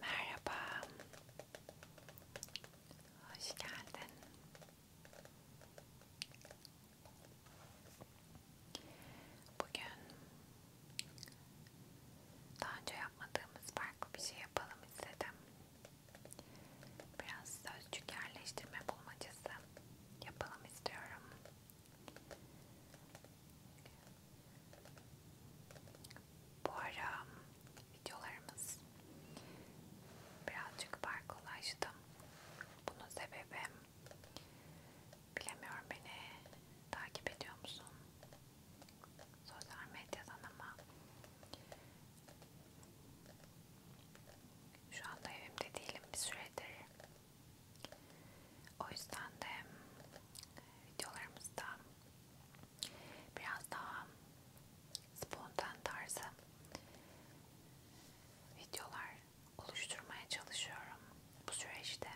Merhaba. Hoş geldin. Bugün daha önce yapmadığımız farklı bir şey yapalım istedim. Biraz sözcük yerleştirme bulmacası yapalım istiyorum. Bu ara videolarımız birazcık farklılaştı. Bunun sebebi bilemiyorum beni takip ediyor musun? Sosyal medyadan ama şu anda evimde değilim bir süredir. O yüzden de videolarımızda biraz daha spontan tarzı videolar oluşturmaya çalışıyorum bu süreçte.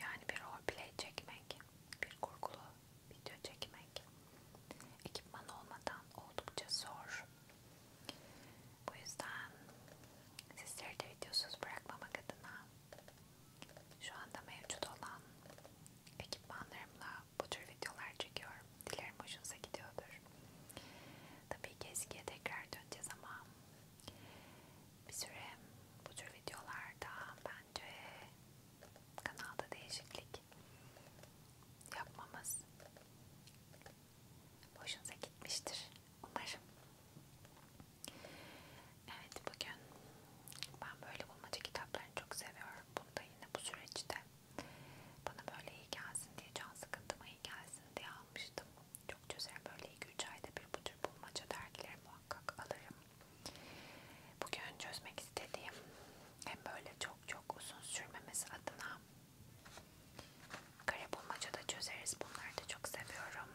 Yani bir roleplay çekmek, bir kurgulu video çekmek ekipman olmadan oldukça zor. Bu yüzden sizleri de videosuz bırakmamak adına şu anda mevcut olan ekipmanlarımla bu tür videolar çekiyorum. Dilerim hoşunuza gidiyordur. Tabii ki eskiye tekrar döneceğiz ama bir süre bu tür videolarda bence kanalda değişiklik yapmamız hoşunuza gitmiştir. Umarım. Evet bugün ben böyle bulmaca kitaplarını çok seviyorum. Bunda yine bu süreçte bana böyle iyi gelsin diye can sıkıntıma iyi gelsin diye almıştım. Çok çözerim böyle 2-3 ayda bir bu tür bulmaca dergileri muhakkak alırım. Bugün çözmek istediğim hem böyle çok çok uzun sürmemesi adına kare bulmaca da çözeriz. Bunları da çok seviyorum.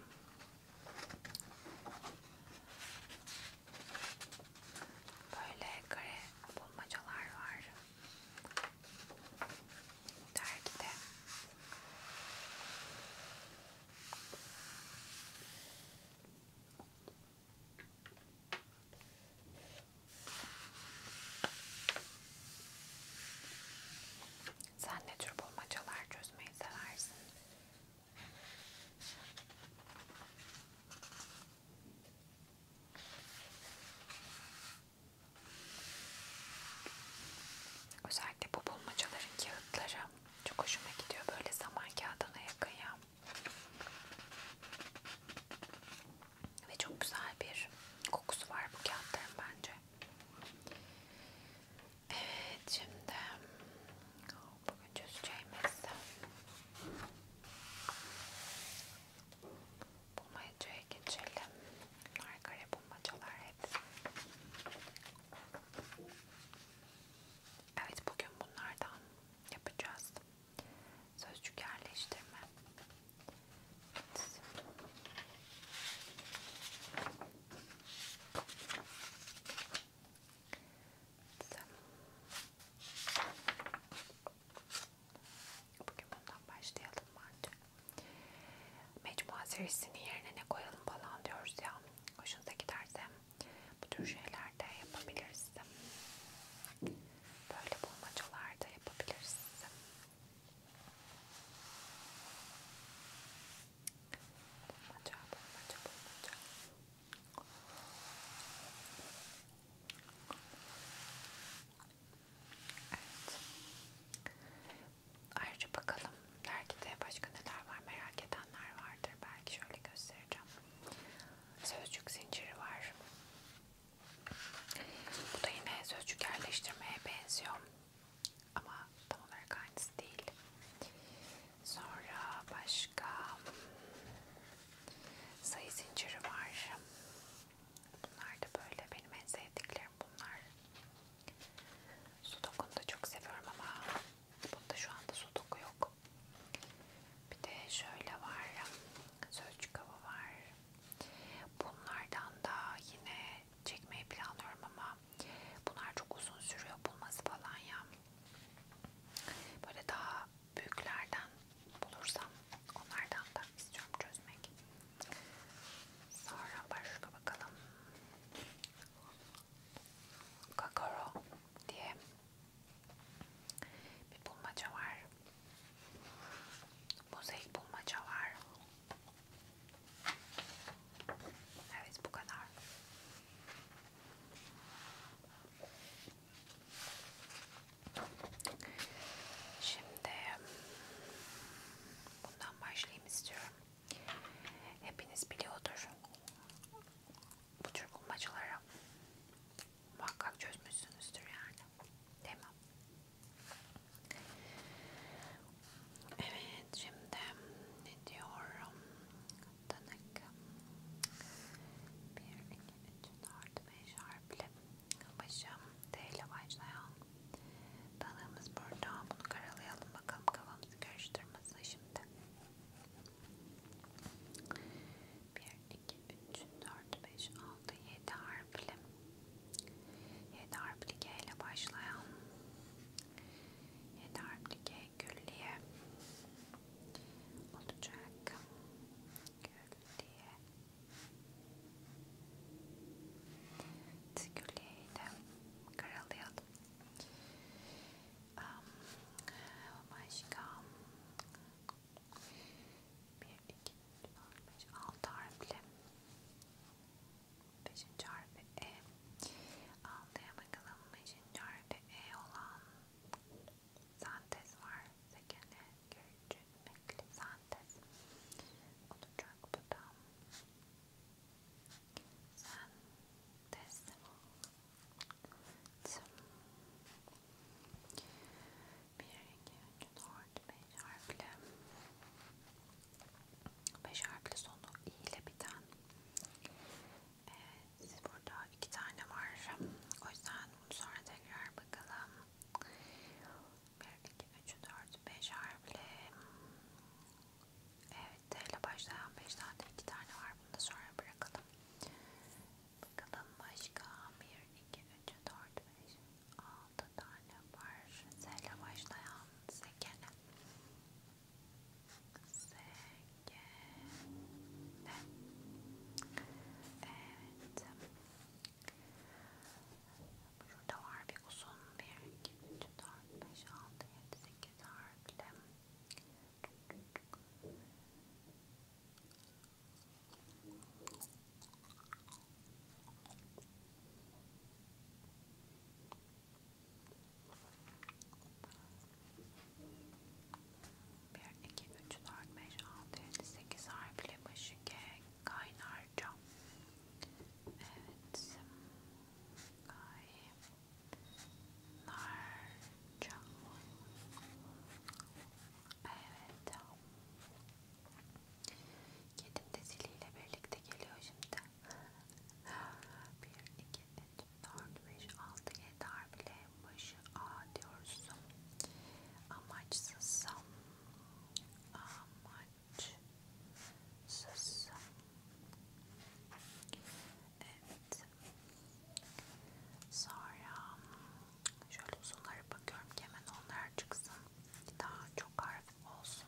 Böyle kare bulmacalar var dergide. Sen ne tür bulmacalar çözmeyi seversin? Özellikle bu bulmacaların kağıtları çok hoşuma gidiyor. Böyle zaman kağıdına yakın ya. Ve çok güzel bir kokusu var bu kağıtların bence. Evet şimdi oh, bugün çözeceğimiz bulmacaya geçelim. Bunlar kare bulmacalar hep. Evet bugün bunlardan yapacağız. Sözcük yerleştirme. Evet. Bugün bundan başlayalım bence. Mecmua serisinin yerine ne koyalım falan diyoruz ya. Hoşunuza giderse bu tür şeyler de yapabiliriz. Böyle bulmacalar da yapabiliriz. Bulmaca, bulmaca, bulmaca. Evet. Ayrıca bakalım dergide başka neler var merak edenler vardır. Belki şöyle göstereceğim. Sözcük zinciri var. Bu da yine sözcük yerleştirmeye benziyor. Ama tam olarak aynısı değil. Sonra başka hmm, sayı zinciri var. Bunlar da böyle benim en sevdiklerim bunlar. Sudoku'nu da çok seviyorum ama bunda şu anda sudoku yok. Bir de şöyle var. Sözcük hava var. Bunlardan da yine çekmeyi planlıyorum ama bunlar çok uzun sürüyor bulması falan ya. Böyle daha büyüklerden bulursam onlardan da istiyorum çözmek. Sonra başka bakalım. Kakaro diye bir bulmaca var. Mozaik bulmaca var. Evet bu kadar. Şimdi bundan başlayayım istiyorum. Hepiniz biliyordur. Bu tür bulmacaları muhakkak çözmüşsünüzdür yani. Değil mi? Evet şimdi ne diyorum? Tanık. 1, 2, 3, 4, 5 harfli. Başım T ile başlayan. Tanığımız burada. Bunu karalayalım bakalım kafamızı karıştırmasın şimdi. 1, 2, 3, 4, 5, 6, 7 harfli. 7 harfli G ile başlayan Yeterlike külliye olacak. Külliye. Külliyeyi de karalayalım. Um, başka bir, iki, üç, dört, beş, altı harfli 5. harfi E altıya bakalım 5. harfi E olan sentez var sekene görücü sentez olacak bu da sentez Tüm. bir iki üç dört beş harfli 5 harfli sonu i ile biten evet, burada iki tane var o yüzden bunu sonra tekrar bakalım 1, 2, 3, 4, 5 harfli evet t ile başlayan 5 tane iki tane var bunu da sonra bırakalım bakalım başka 1, 2, 3, 4, 5 6 tane var z ile başlayan zekene Zegele. Evet. Burada var bir uzun bir 2, 3, 4, 5, 6, 7, 8 harfli. 1, 2, 3, 4, 5, 6, 7, 8 harfli başı G kaynarca. Evet. Kaynarca. Evet. Kedim de ziliyle birlikte geliyor şimdi. 1, 2, 3, 4, 5, 6, 7 harfle başı A diyoruz. Amaçsız. Amaçsız. Evet. Sonra şöyle uzunlara bakıyorum ki hemen onlar çıksın. Daha çok harf olsun.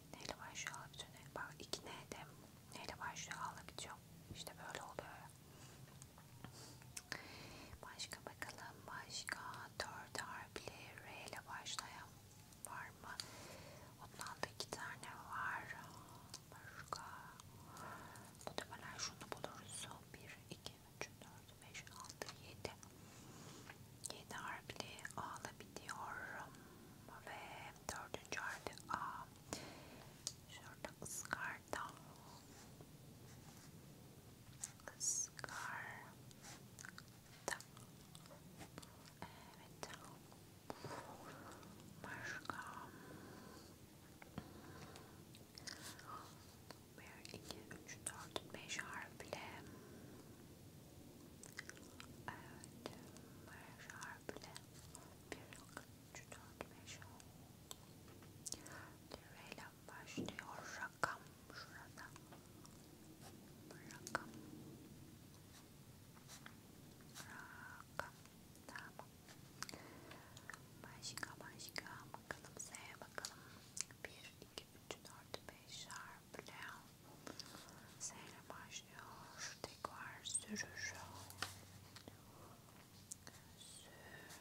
neyle başlıyor hala bitiyor neyle başlıyor iki neydi neyle başlıyor hala bitiyor işte böyle oluyor başka bakalım başka dört harfli R ile başlayan var mı ondan da iki tane var başka muhtemelen şunu buluruz 1 2 3 4 5 6 7 7 harfli ağla bitiyorum ve dördüncü harfi A. Şurada ıskarda. Iskarda. Evet. Başka. Bir, iki, üç, dört, beş harfli. Evet, baraj harfle 1, 2, 3, 4, 5, 10 lirayla başlıyor rakam şurada rakam rakam tamam başka başka bakalım S'ye bakalım 1, 2, 3, 4, 5 harfle Seyre başlıyor. Tekrar sürür. Sürür.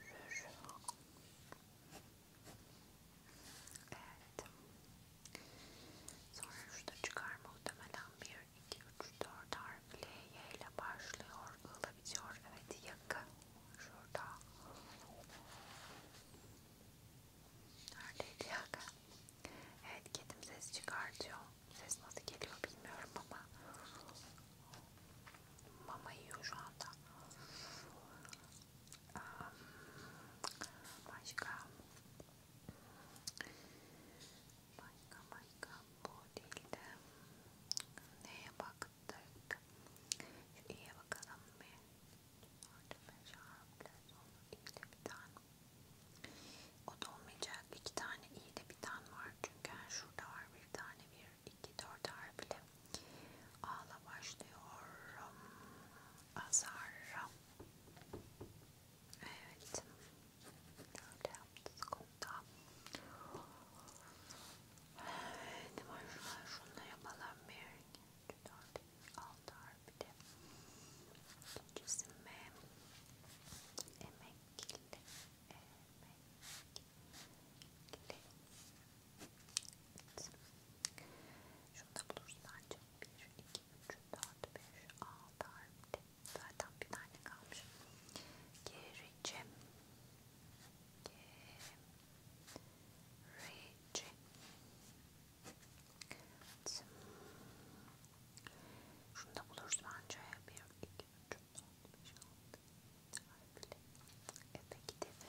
Evet. Sonra şurada çıkar muhtemelen 1, 2, 3, 4 harfli Y ile başlıyor. I'la bitiyor. Evet yakın. Şurada. Neredeydi ya? Evet kedim ses çıkartıyor. Ses nasıl geliyor bilmiyorum ama mama yiyor şu anda. Başka başka başka bu değildi. Neye baktık? Şu iyiye bakalım bir. Orada beş harfler sonra iyiyle bir tane o da olmayacak. İki tane iyi de bir tane var. Çünkü yani şurada var bir tane bir iki dört harfli. Ağla başlıyorum. Azarram. Evet. Öyle yaptık onda. Evet. Şunları yapalım bir. 4006 harfi de ikincisi M emekli emekli evet. şunu da bulursan çok 1, 2, 3, 4, 5, 6 harfi de zaten bir tane kalmış gerici gerici Gerici Evet. Şunu da buluruz bence. 1, 2, 3, 4, 5, 6, 7, 8, e, peki dedi. E, peki. Dedi.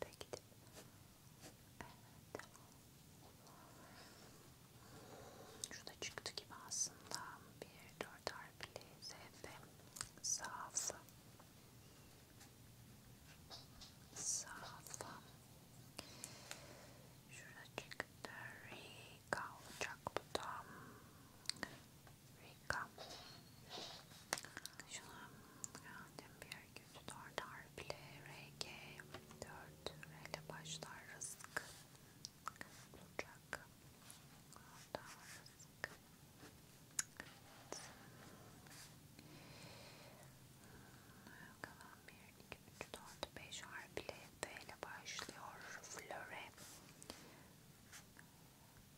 Peki dedi. Evet. Şurada çıktı gibi aslında. 1, 4 artı kalpli, zevde, safı, safı. Şuracık da Rika olacak bu da. Rika. Şuna annem bir yer kötü dört harfli. RG 4 R ile başlar. Rızk. Bucak. Odağınızı Kalan 1, 2, 3, 4, 5 harfli F ile başlıyor. Flöre.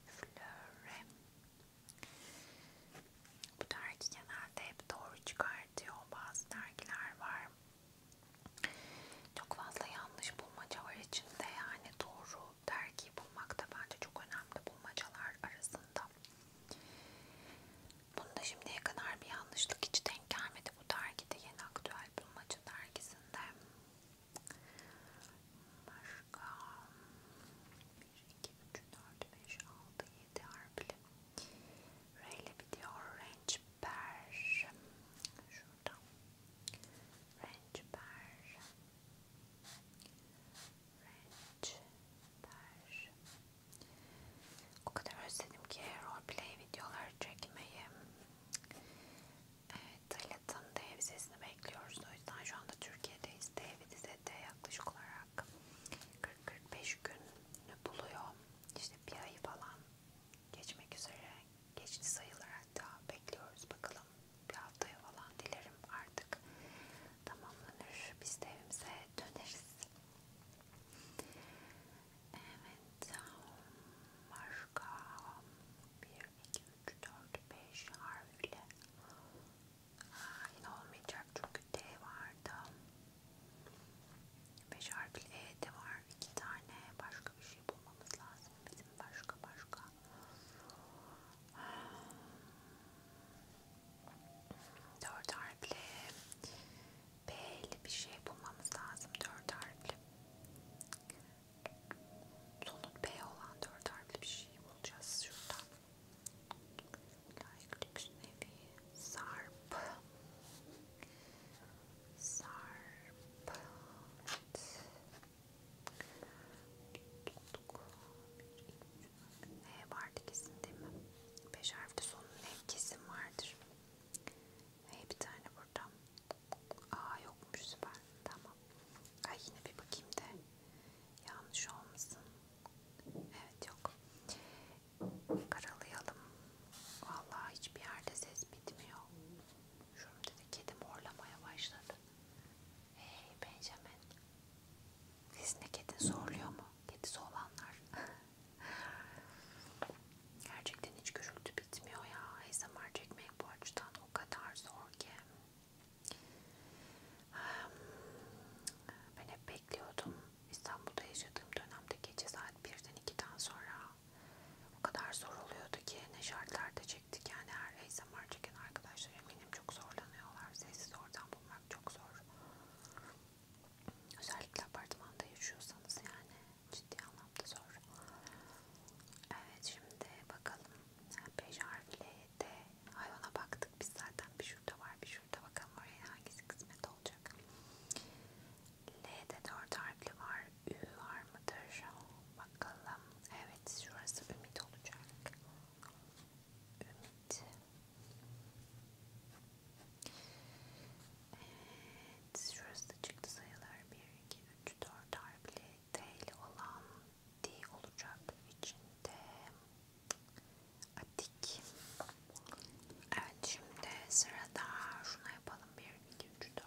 Flöre. Bu dergi genelde hep doğru çıkartıyor. Bazı dergiler var. Çok fazla yanlış bulmaca var içinde yani doğru bu dergiyi bulmak da bence çok önemli bulmacalar arasında. Bunda şimdiye kadar bir yanlışlık hiç denk gelmedi bu dergide yeni aktüel bulmaca dergisinde. Başka 1, 2, 3, 4, 5, 6, 7 harfli. Rayleigh bitiyor. Range Ber. Şu buradan. Ranch bar. Ranch bar. O kadar özledim ki roleplay videoları çekmeyi. Evet, Talat'ın dev sesini bekliyoruz. O yüzden şu anda Türkiye'deyiz. Dev dizede yaklaşık olarak 40-45 günü buluyor. İşte bir ayı falan geçmek üzere. Geçti sayılır hatta. Bekliyoruz bakalım bir haftaya falan dilerim artık tamamlanır. Biz de evimize döneriz. Evet. Başka 1, 2, 3, 4, 5 harfle Aa, yine olmayacak çünkü D vardı. 5 harfli E de var. 2 tane başka bir şey bulmamız lazım. Bizim başka başka Dört harfli B'li bir şey bulmamız lazım. Dört harfli. Sonu B olan dört harfli bir şey bulacağız şuradan. Like lüks nevi. Sarp. Sarp. Evet. Tuttuk. H vardı kesin değil mi? 5 harfli sonun H kesin vardır. H bir tane burada. Aa yokmuş süper. Tamam. Ay yine bir bakayım da yanlış olmasın. Evet yok. Karalayalım. Vallahi hiçbir yerde ses bitmiyor. Şurada da kedi morlamaya başladı. Hey Benjamin, sizin kedin zorluyor mu? Kedisi olanlar. Gerçekten hiç gürültü bitmiyor ya. ASMR çekmek bu açıdan o kadar zor ki. Ben hep bekliyordum. İstanbul'da yaşadığım dönemde gece saat 1'den 2'den sonra o kadar zor oluyordu ki ne şartlarda çektik. Yani her ASMR çeken arkadaşlar eminim çok zorlanıyorlar. Sessiz ortam bulmak çok zor. Özellikle apartmanda yaşıyorsanız yani ciddi anlamda zor. Evet şimdi bakalım. 5 harfli de hayvana baktık. Biz zaten bir şurada var bir şurada. Bakalım oraya hangisi kısmet olacak. L'de 4 harfli var. Ü var mıdır? Bakalım. Evet şurası Ümit olacak. Ümit. Evet şurası çıktı sayılar 1, 2, 3, 4 harfli T ile olan D olacak içinde. Atik. Evet şimdi sırada şunu yapalım 1, 2, 3, 4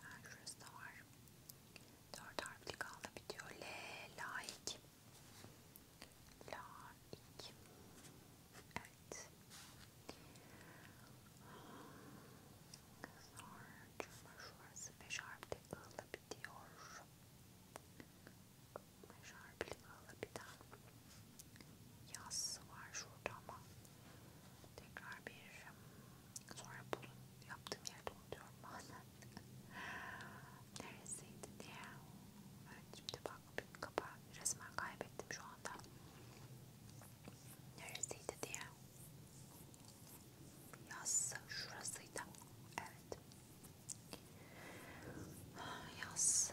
Ha, şurası da var. Dört harfli kaldı bitiyor. L, laik. Laik. Evet. Sonra şurası beş harfli ığla bitiyor. Beş harfli ığla biten. Yazısı var şurada ama tekrar bir sonra bulun yaptığım yerde unutuyorum bazen neresiydi diye şimdi bak bir kapağı resmen kaybettim şu anda neresiydi diye yaz şurasıydı evet yaz yaz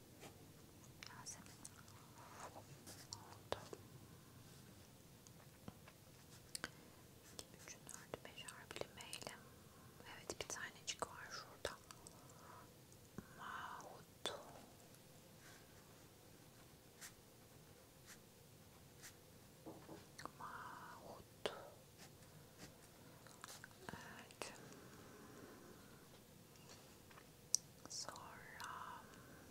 Yasemin oldu. 2, 3, 4, 5 harfli mailim. Evet bir tanecik var şurada. Mahut. Mahut. Evet. Sonra um,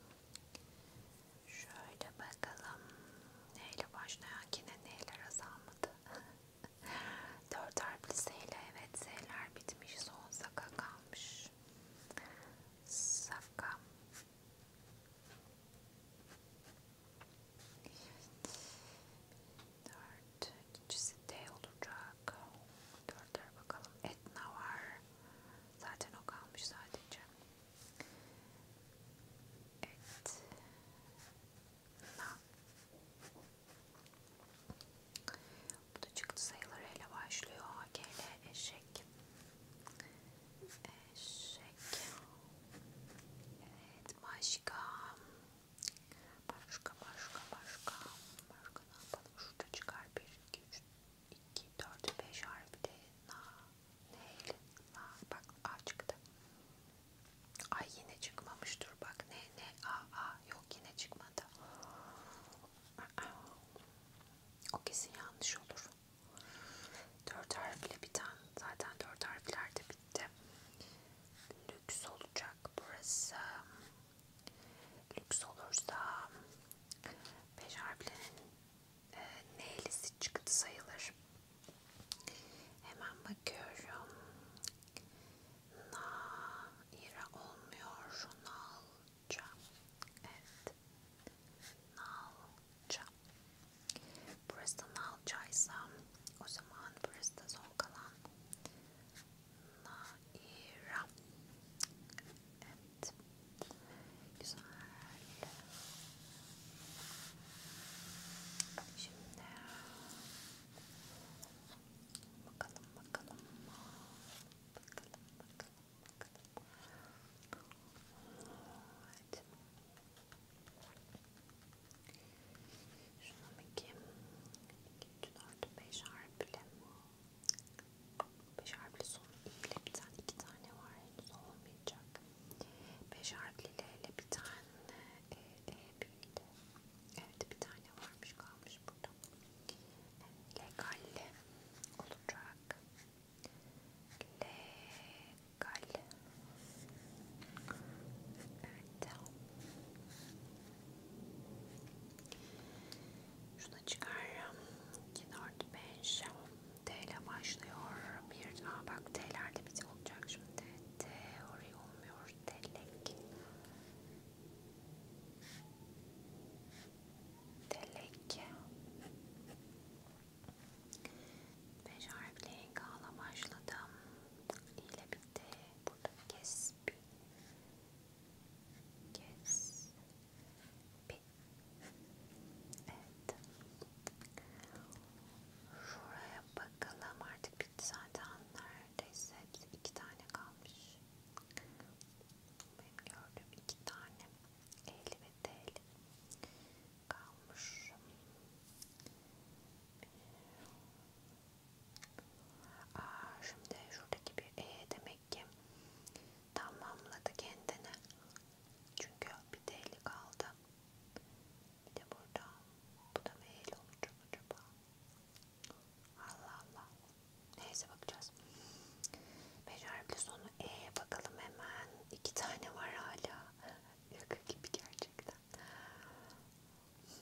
şöyle bakalım neyle başlayan yine neyle azalmadı. Dört harfli seyle evet seyler bitmiş son saka kalmış. Safka. Dört. İkincisi D olacak. Dört tişörtlere bakalım. Etna var. Zaten o kalmış sadece. Evet. Na. Bu da çıktı sayılarıyla başlıyor. AGL eşek. Eşek. Evet başka. Başka başka başka. Başka ne yapalım? Şurada çıkar 1, 2, 3, 2, 4, 5 harfi de na, neyli, na, bak a çıktı. Ay yine çıkmamış dur bak ne ne a a yok yine çıkmadı. O kesin yanlış olur. Dört harfli biten zaten dört harfler de bitti. Lüks olacak burası lüks olursa 5 harflerin e, neylisi çıktı sayılır. Hemen bakıyorum. Naira olmuyor. Nalca. Evet. Nalca. Burası da Nalcaysa o zaman burası da son kalan Naira. Evet. Güzel. Şimdi bakalım bakalım. Bakalım bakalım bakalım. Evet. Şuna bakayım. 2, 3, 4, 5 harfli. 1, 5 harfli sonu ile biten iki tane var henüz olmayacak. 5 harfli ile bir tane e, e, büyüdü. Evet bir tane varmış kalmış burada. Legal olacak. Legal. Evet. Şuna çıkarım. 2, 4, 5. T ile başlıyor. Bir, aa bak T'lerde bir olacak şimdi. Teori olmuyor. Telek. Telek. Beş harfli enkala başladım. ile bitti. Burada kesbi. Kes. Bir. Evet. Şuraya bakalım artık bir zaten neredeyse iki tane kalmış. Benim gördüğüm iki tane eli ve tel kalmış. Aa, şimdi şuradaki bir e demek demek ki tamamladı kendini. Çünkü bir deli kaldı. Bir de burada bu da meyil olacak acaba. Allah Allah. Neyse bakacağız. Beş harfli sonu E bakalım hemen. İki tane var hala. Yaka gibi gerçekten. Şu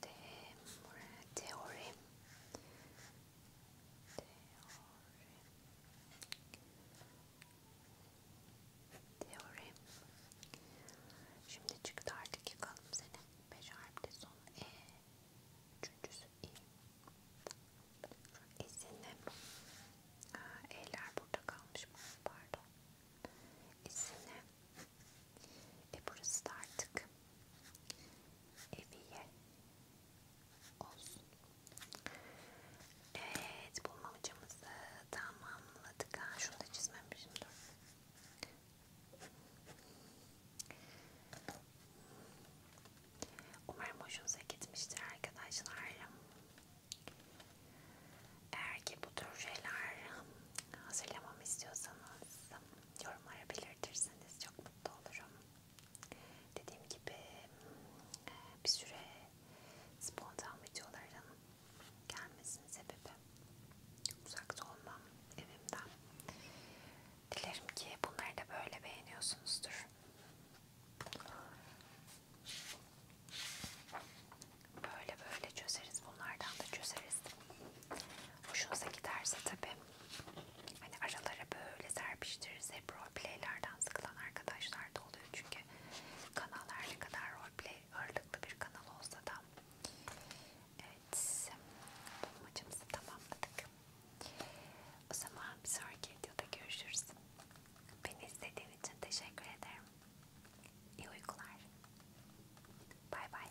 Teorem, teorem, teorem. Şimdi çıktı artık yıkalım seni. Beş harfli son e. Üçüncüsü i. İsimli. E'ler burada kalmış mı? Pardon. İsimli. Ve burası da artık eviye olsun. Evet, bulmacamızı tamamladık. Ha, şunu da çizmemişim. Dur. Umarım hoşunuza gitmiştir arkadaşlar. Eğer ki bu tür şeyler hazırlamamı istiyorsanız yorumlara belirtirseniz çok mutlu olurum. Dediğim gibi hmm, bir süre spontan videoların gelmesinin sebebi uzakta olmam evimden. Dilerim ki bunları da böyle beğeniyorsunuzdur. Böyle böyle çözeriz. Bunlardan da çözeriz. Hoşunuza giderse tabi hani aralara böyle serpiştiririz. Hep roleplaylerden sıkılan arkadaşlar da oluyor. Çünkü kanal her ne kadar roleplay ağırlıklı bir kanal olsa da evet bulmacımızı tamamladık. O zaman bir sonraki videoda görüşürüz. Beni izlediğin için teşekkür ederim. İyi uykular. Bay bay.